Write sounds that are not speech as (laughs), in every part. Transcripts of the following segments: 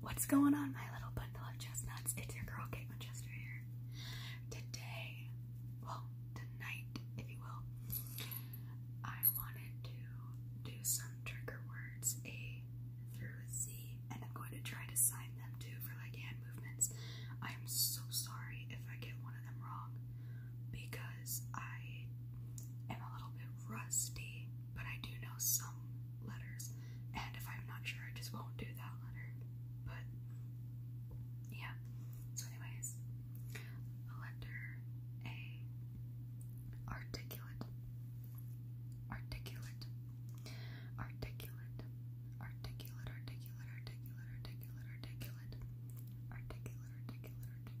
What's going on, my little bundle of chestnuts? It's your girl, Kate Winchester here. Today, well, tonight, if you will, I wanted to do some trigger words, A through Z, and I'm going to try to sign them too for like hand movements. I am so sorry if I get one of them wrong because I am a little bit rusty but I do know some letters, and if I'm not sure, I just won't do that letter. But yeah. So, anyways, letter A. Articulate. Articulate. Articulate. Articulate. Articulate. Articulate. Articulate. Articulate. Articulate. Articulate.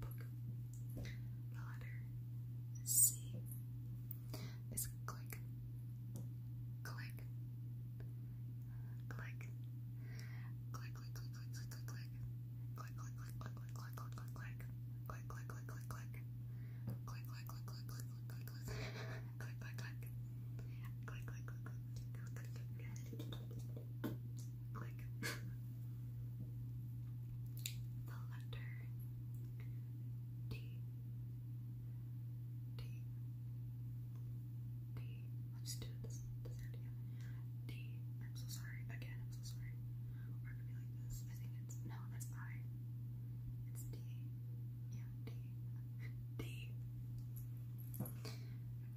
book. The letter C is click, click, click, click, click, click, click, click, click, click, click, click, click, click, click, click, click, click. Click, click, click, click, click. Click, click, click, click, click, click, click, click. Click, click, click. Click, click, click, click, click, click, click click. (laughs) the letter T. T. D. Let's do this. This idea. D. I'm so sorry. Again, I'm so sorry. Or it could be like this. I think it's no. That's I. It's D. Yeah, D. D. (laughs)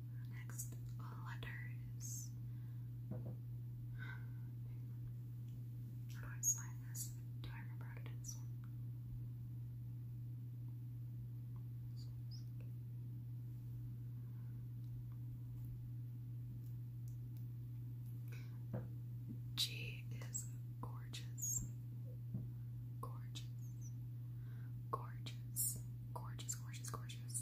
Next, letters. How do I sign this? Do I remember how G is gorgeous, gorgeous, gorgeous, gorgeous, gorgeous, gorgeous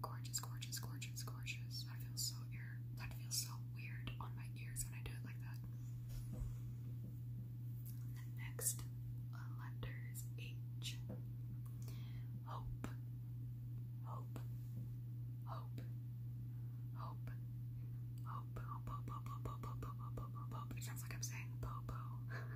Gorgeous, gorgeous, gorgeous, gorgeous. I feel so ear. That feels so weird on my ears when I do it like that. next uh, letter is H. hope, hope, hope, hope, hope, hope, hope, hope, hope, hope, hope. It sounds like I'm saying po po. (laughs)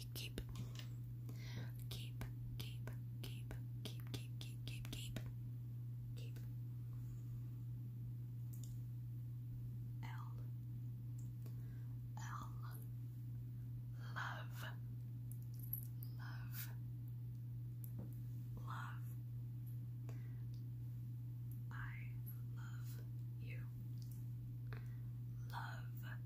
keep, keep, keep, keep, keep, keep, keep, keep, keep, keep. L, L, love, love, love. I love you. Love, love,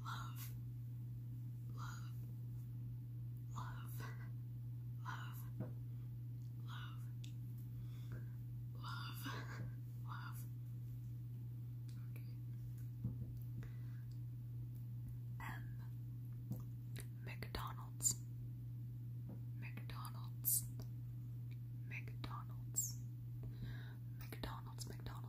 love, love, love, love, love, love, love. M. McDonald's. McDonald's. McDonald's. McDonald's. McDonald's.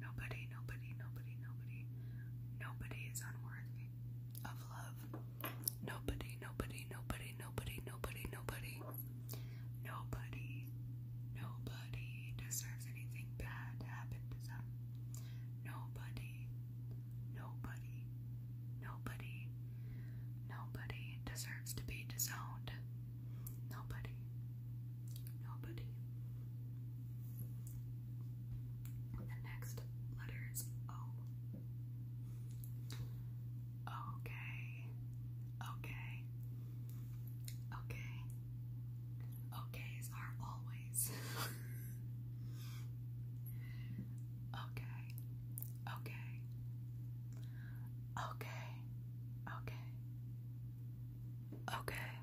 Nobody, nobody, nobody, nobody, nobody is unworthy of love. Nobody, nobody, nobody, nobody, nobody, nobody, nobody, nobody deserves anything bad to happen to them. Nobody, nobody, nobody, nobody deserves to be disowned. Nobody, nobody. The next letter is O. Okay. Okay. Okay. Okays are always. (laughs) okay. Okay. Okay. Okay. Okay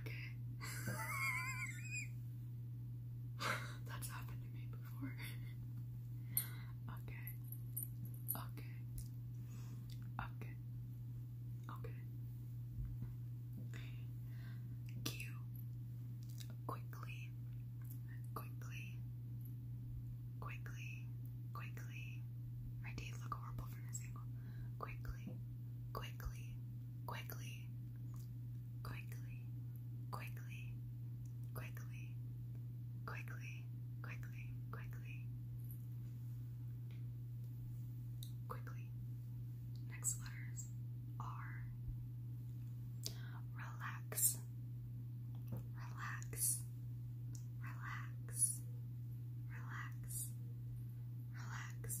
Okay. (laughs) That's happened to me before. okay. Okay. Okay. Okay. Q. Quickly. Quickly. Quickly. Quickly. My teeth look horrible from this angle. Quickly. Quickly quickly, quickly, quickly, quickly, quickly, quickly, quickly. Quickly. Next letters are relax, relax, relax, relax, relax,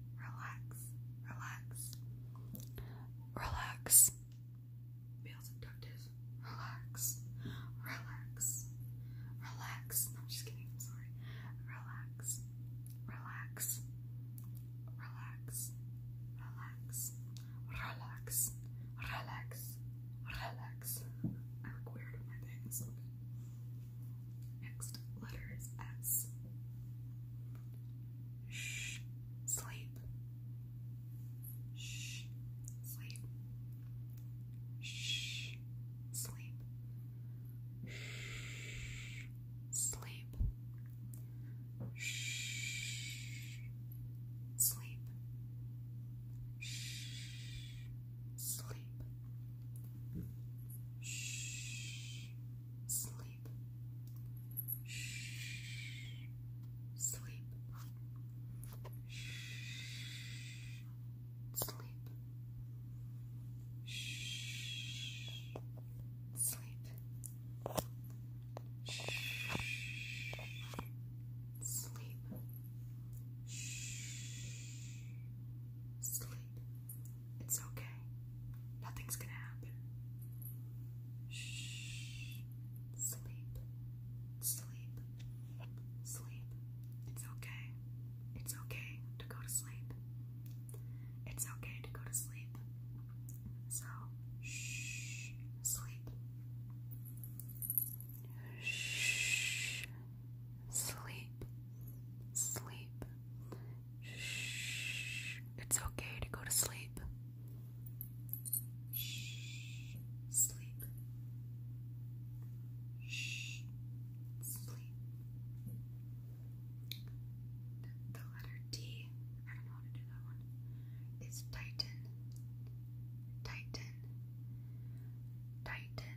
relax, relax, relax. Males abducted. Relax, relax, relax. I'm just kidding. sorry. Relax, relax, relax, relax, relax, relax, relax. I look weird on my things. Next letter is S. Shh, sleep. Shh, sleep. Shh, sleep. Shh, sleep. Shh, sleep. Shh, sleep sleep. Shh, sleep. Shh, sleep. Shh, sleep. Shh, sleep. Shh, sleep. Shh, sleep. Shh, sleep. It's okay. Nothing's gonna happen. Shh. Sleep. Sleep. Sleep. It's okay. It's okay to go to sleep. It's okay to go to sleep. So, shh. Sleep. Shh. Sleep. Sleep. Shh. It's okay to go to sleep. Shh. Sleep. Shh. Sleep. The, letter D, I don't know how to do that one, is Titan. Titan. Titan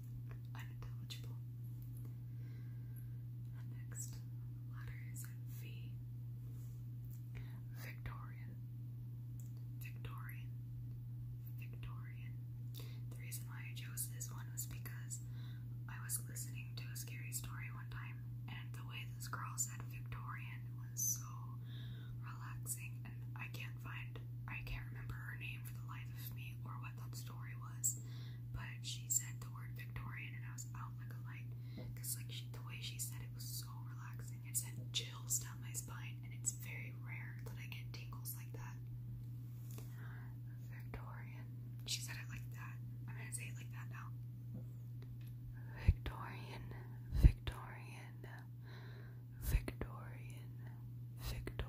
unintelligible. Next, letters and V. Victorian, Victorian, Victorian. The reason why I chose this one was because I was listening to a scary story one time, and the way this girl said Victorian was so relaxing. And I can't find, I can't remember her name for the life of me or what what that story was, but she said the word Victorian, and I was out like a light, cause like she, the way she said it was so relaxing. It sent chills down my spine, and it's very rare that I get tingles like that. Victorian. She said it like that. I'm gonna say it like that now. Victorian, Victorian, Victorian, Victorian.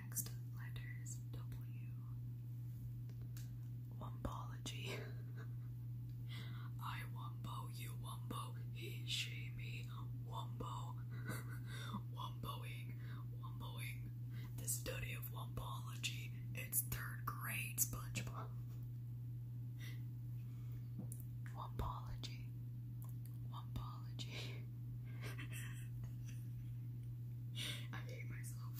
next letters W. Wombology. (laughs) I wombo, you wombo, he, she, me, wombo. (laughs) Womboing, womboing. The study of wombology, it's third grade, SpongeBob. (laughs) Wombology, wombology. (laughs) I hate myself.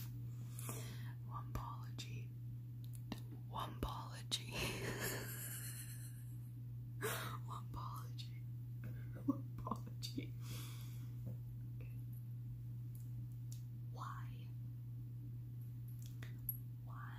Wompology. Wompology. (laughs) Wompology. Wompology. Okay. Why? Why?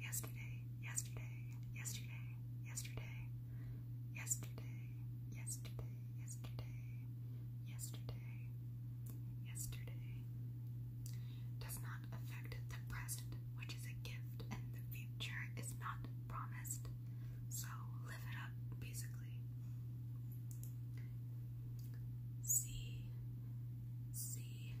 yesterday, yesterday, yesterday, yesterday, yesterday, yesterday, yesterday, yesterday, yesterday. Does not affect the present, which is a gift, and the future is not promised. So live it up, basically. C, C,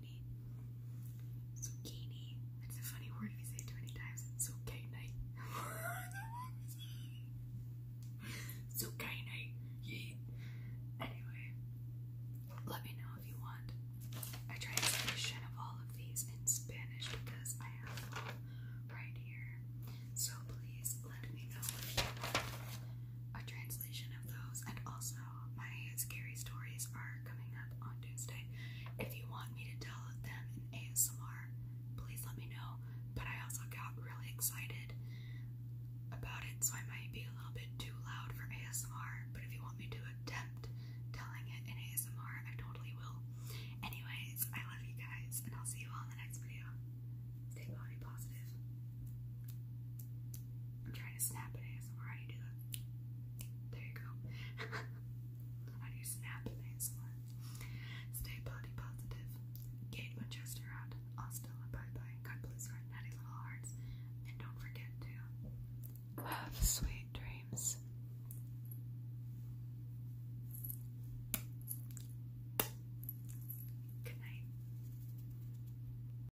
zucchini. Zucchini. a funny word if you say it too many times. Zucchini. (laughs) zucchini. Yeah. Anyway, let me know if you want. a version of all of these in Spanish because I have them here. So please let me know a trans of those, and also my scary stories are coming up on Tuesday. If you want me to tell them in ASMR, please let me know. But I also got really excited about it, so I might be a little bit too loud for ASMR. But if you want me to attempt telling it in ASMR, I totally will. Anyways, I love you guys, and I'll see you all in the next video. Stay body positive. I'm trying to snap it ASMR. How do you There you go. How (laughs) do you snap an Stay bloody positive. Kate Winchester out. Hasta bye bye. God bless your natty little hearts. And don't forget to have sweet dreams. Good night.